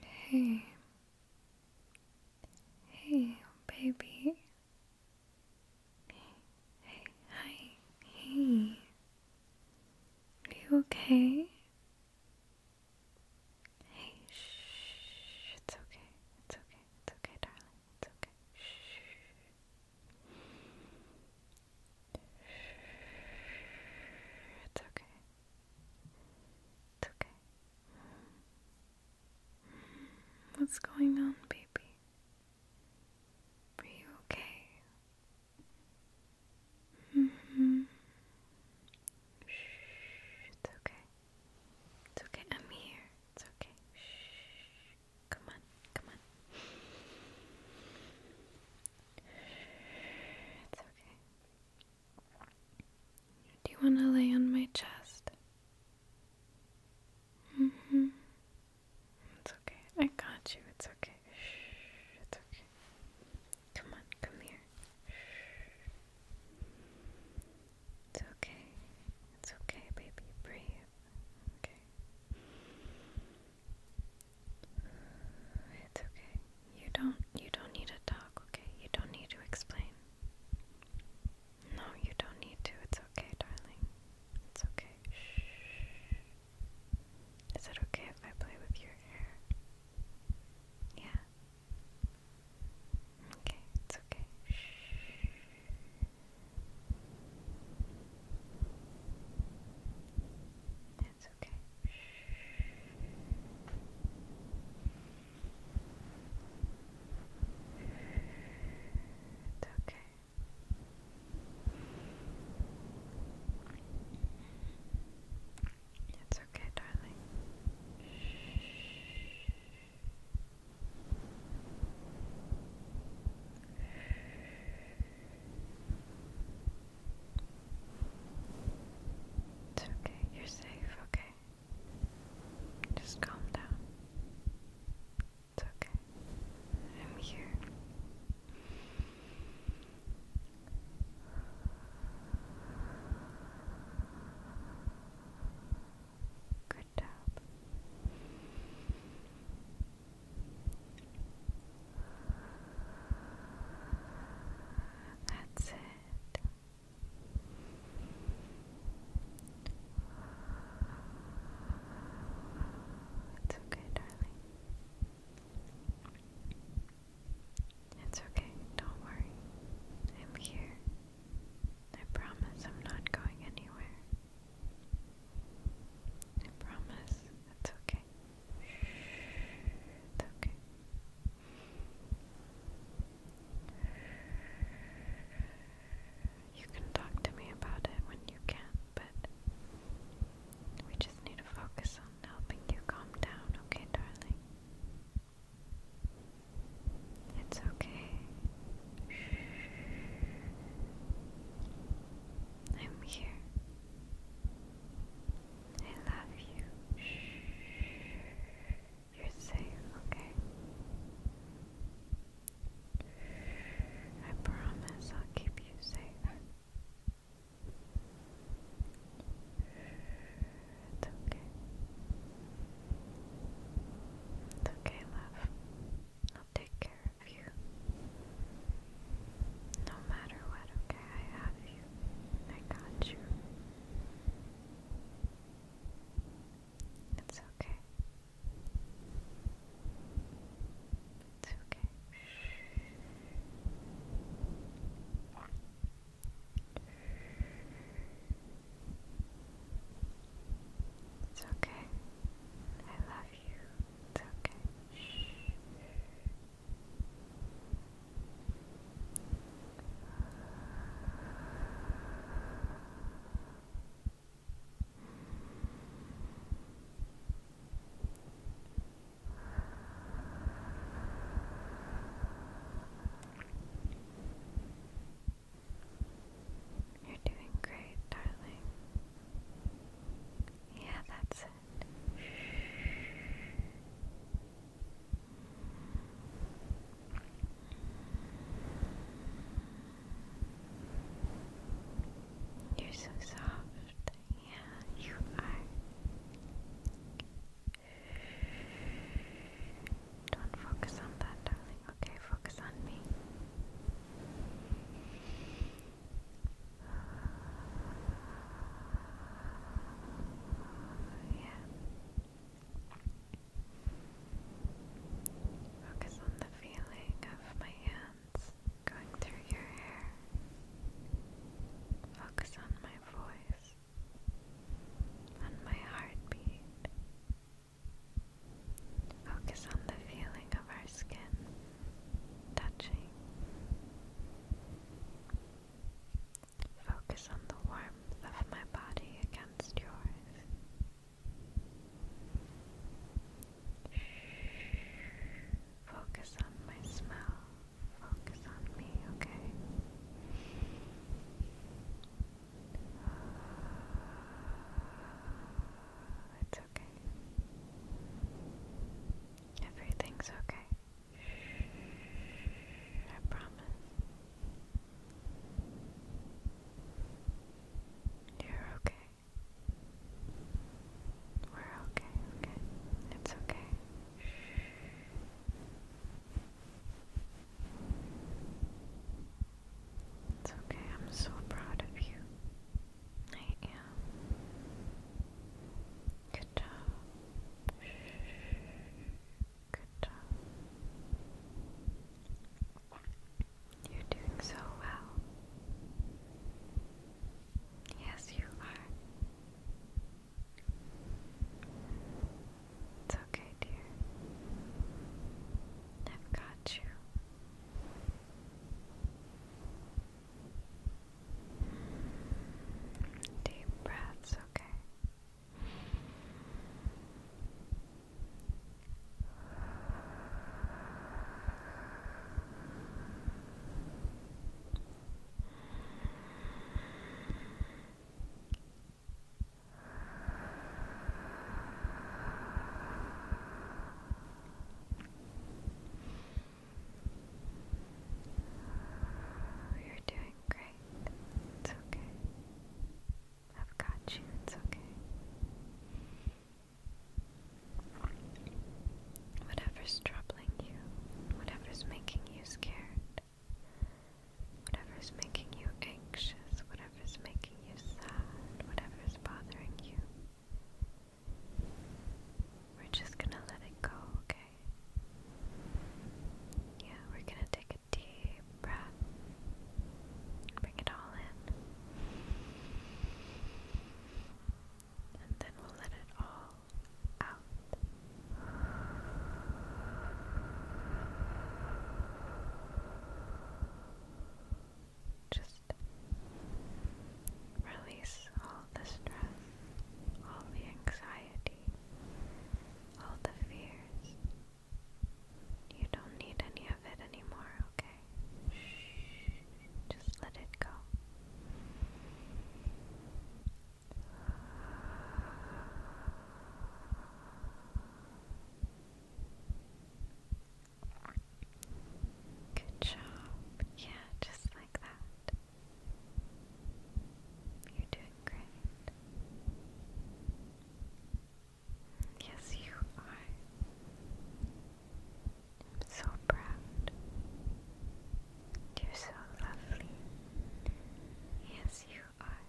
Hey, hey, baby. Hey, hi, hey. Are you okay? Hey, shh. It's okay. It's okay. It's okay, darling. It's okay. It's okay. It's okay. What's going on, baby? Are you okay? hmm Shh, it's okay. It's okay. I'm here. It's okay. Shh. Come on, come on. It's okay. Do you want to lay on my chest? Mm hmm. It's okay. I got you. It's okay. Shh. It's okay. Come on, come here. It's okay. It's okay, baby. Breathe. Okay. It's okay. You don't you don't need to talk, okay? You don't need to explain. No, you don't need to. It's okay, darling. It's okay. Shh. Is it okay if I play with your hair? Yeah. Okay, it's okay. Shh. That's okay. It's okay. It's okay, darling. It's okay, you're safe, okay? Just calm down. It's okay. I'm here. Good job. That's it. It's okay, darling. It's okay, don't worry. I'm here. I promise I'm not going anywhere. I promise it's okay. It's okay. You can talk to me about it when you can, but we just need to focus on helping you calm down, okay, darling? It's okay. I'm here. I love you. You're safe, okay? I promise I'll keep you safe. It's okay. It's okay, love. I'll take care of you. No matter what, okay? I have you. I got you. It's okay. It's okay. Shh. It's okay. I love you. It's okay. Shh. You're doing great, darling. Yeah, that's it. You're so soft. Yeah, you are. Don't focus on that, darling. Okay, focus on me. Yeah. Focus on the feeling of my hands going through your hair. Focus on my voice, on my heartbeat. Focus on the feeling of our skin touching. Focus on the warmth of my body against yours. Focus on my smell. Focus on me, okay? It's okay. Everything's okay. I promise. You're okay. We're okay, okay. It's okay. It's okay, I'm so proud of you. I am. Good job. Good job. You're doing so well. Yes, you are. It's okay, dear. I've got you. Deep breaths, okay. You're doing great. It's okay. I've got you. It's okay. Whatever's troubling you, whatever's making you scared, Whatever is making you anxious, whatever is making you sad, whatever is bothering you, we're just gonna let it go, okay? Yeah, we're gonna take a deep breath. Bring it all in. And then we'll let it all out. Just release all the stress, all the anxiety, all the fears. You don't need any of it anymore, okay? Shh. Just let it go. Good job. Yeah, just like that. You're doing great. Yes, you are. I'm so proud. You're so lovely. Yes, you are.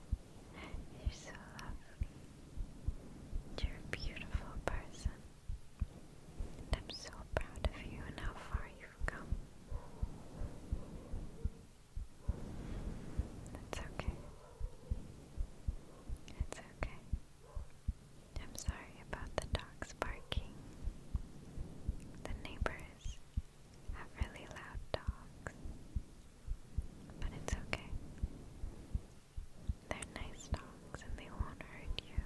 You're so lovely. You're a beautiful person. And I'm so proud of you and how far you've come. That's okay. It's okay. I'm sorry about the dogs barking. The neighbors have really loud dogs. But it's okay. They're nice dogs and they won't hurt you.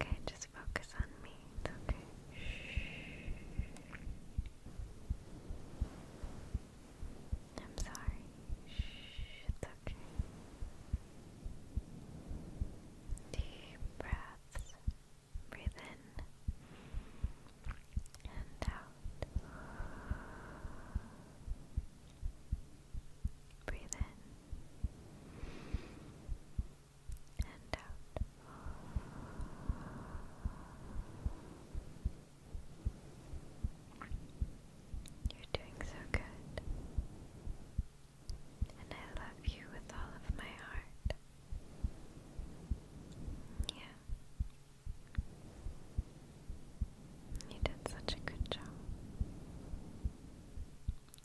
Okay, just focus on me. It's okay. Shh. I'm sorry. Shh. It's okay. Deep breaths. Breathe in and out. Breathe in and out. You're doing so good. And I love you with all of my heart. Yeah. You did such a good job.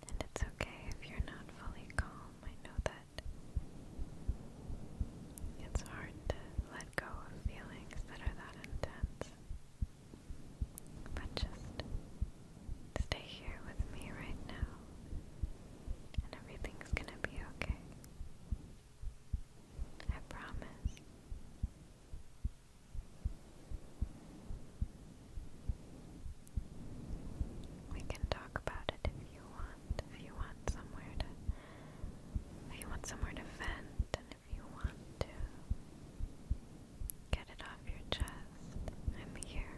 And it's okay if you're not fully calm. I know that it's hard to let go of feelings that are that intense. But just stay here with me right now, and everything's gonna be okay. I promise. We can talk about it if you want. If you want somewhere to if you want somewhere to vent and if you want to get it off your chest, I'm here.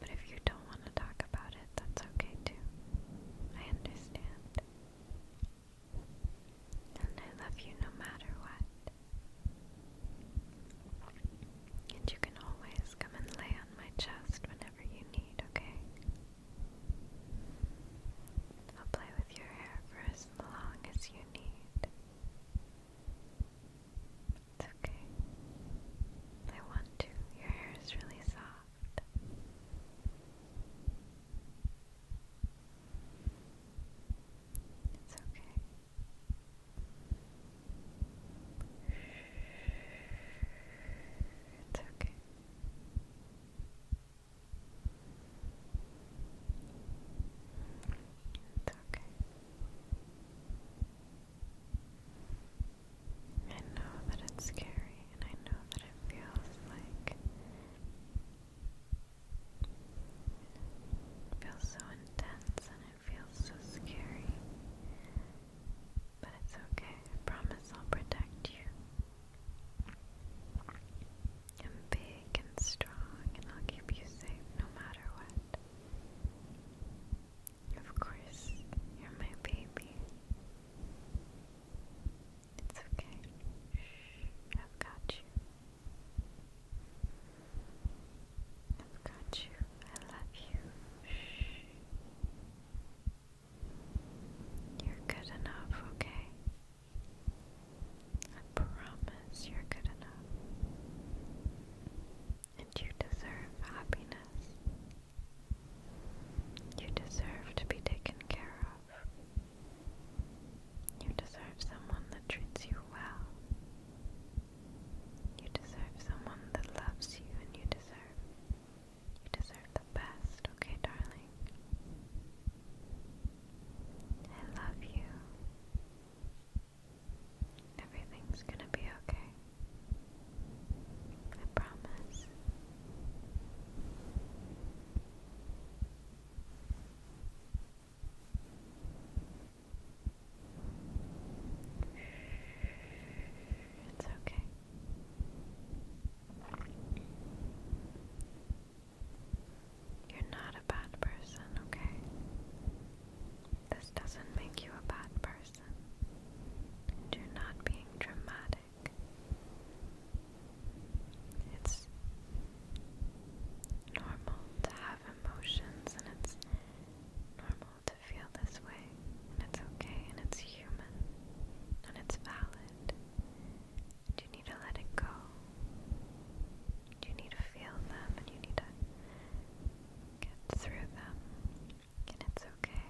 But if you don't want to talk about it, that's okay too. I understand. And I love you no matter what. And you can always come and lay on my chest whenever you need, okay? I'll play with your hair for as long as you need. It's okay. I want to. Your hair is really soft. It's okay. It's okay. It's okay. I know that it's scary, and I know that it feels like feels so intense and it feels so scary. But it's okay, I promise I'll protect you. I'm big and strong, and I'll keep you safe no matter what. Of course, you're my baby. It's okay. Shh, I've got you. I've got you. I love you. Shh. You're good enough, okay? I promise you're good enough and you deserve happiness. You deserve to be taken care of. You deserve someone that treats you well. You deserve someone that loves you and you deserve you deserve the best, okay darling? I love you. Everything's gonna be okay. I promise. It's okay. You're not a bad person, okay? This doesn't make you a bad person you're not being dramatic. It's normal to have emotions, and it's normal to feel this way, and it's okay, and it's human, and it's valid. you need to let it go. You need to feel them, and you need to get through them and it's okay.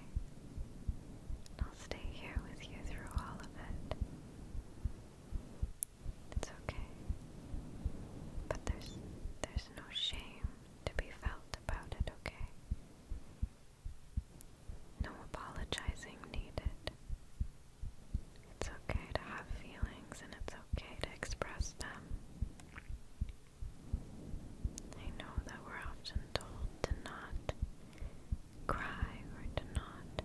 I'll stay here with you through all of it. It's okay. But there's there's no shame to be felt about it, okay? No apologizing needed. It's okay to have feelings and it's okay to express them. I know that we're often told to not cry or to not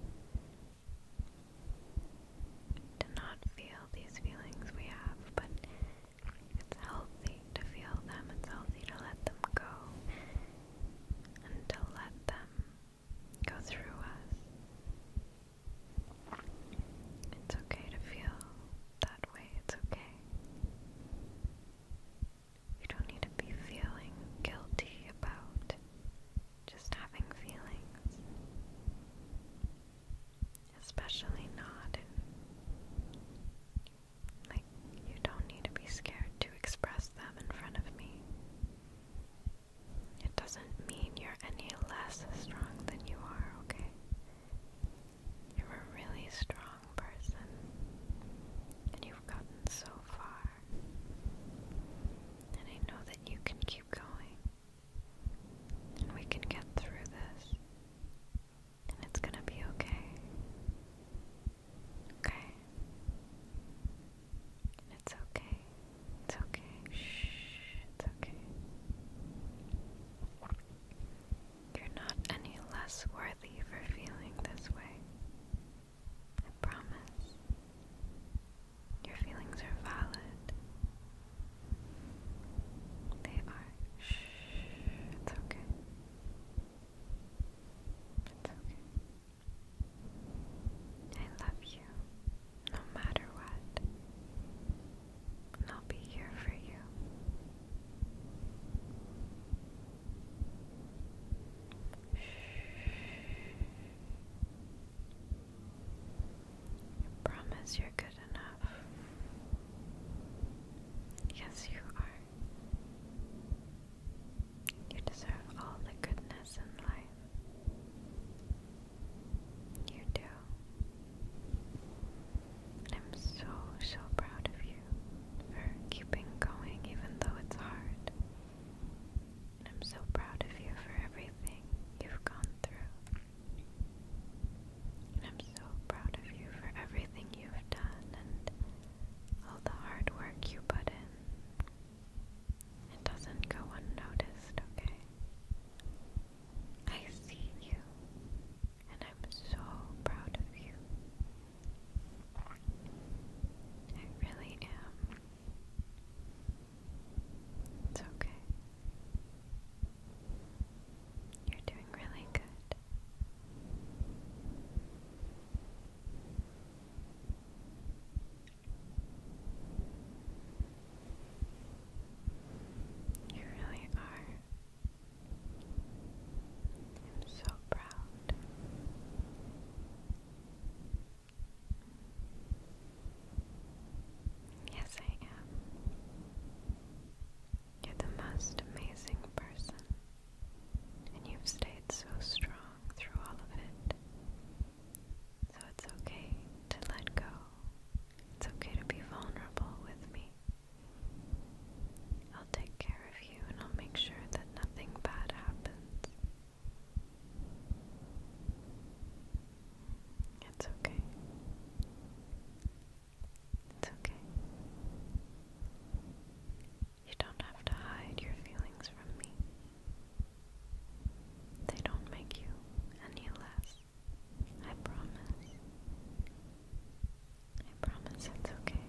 to not feel these feelings we have, but it's healthy to feel them, it's healthy to let them go and to let them go through us. It's okay to feel that way, it's okay. You don't need to be feeling guilty about just having feelings, especially not Like, you don't need to be scared to express them in front of me. It doesn't mean you're any less strong than you are, okay? You're a really strong person, and you've gotten so far. And I know that you can keep going, and we can get through this, and it's gonna be okay. Okay? It's okay. It's okay. Shh, it's okay. You're not any less worthy for feeling this way. I promise. Your feelings are valid. They are. Shh. It's okay. It's okay. I love you, no matter what. I'll be here for you. Shh. I promise you're good enough. Yes, you are. You deserve all the goodness in life. You do. I'm so, so proud of you for keeping going even though it's hard. And I'm so proud of you for everything you've gone through. And I'm so proud of you for everything you've done and all the hard work you put in. It doesn't go unnoticed, okay? I see you, and I'm so proud of you. I really am. It's okay. You're doing really good. You really are. I'm so proud. Yes, I am. You're the most amazing person, and you've stayed so strong through all of it. So it's okay to let go it's okay to be vulnerable with me. I'll take care of you and I'll make sure that nothing bad happens. It's okay. It's okay. You don't have to hide your feelings from me. They don't make you any less. I promise. I promise it's okay.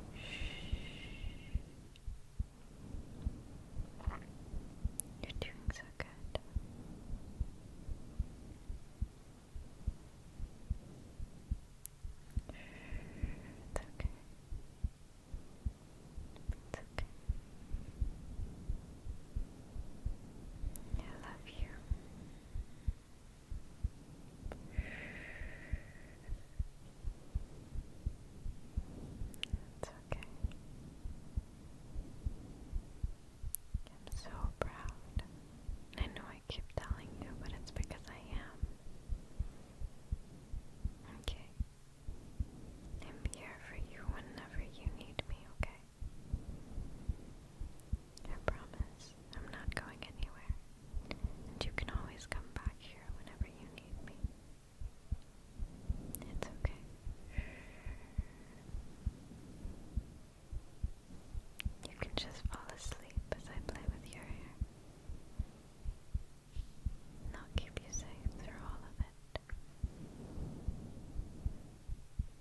You're doing so good. It's okay. It's okay. I love you. It's okay. I'm so proud. I know I keep telling you, but it's because I am. Okay. I'm here for you whenever you need me, okay? I promise I'm not going anywhere, and you can always come back here whenever you need me. It's okay. You can just fall asleep as I play with your hair. And I'll keep you safe through all of it.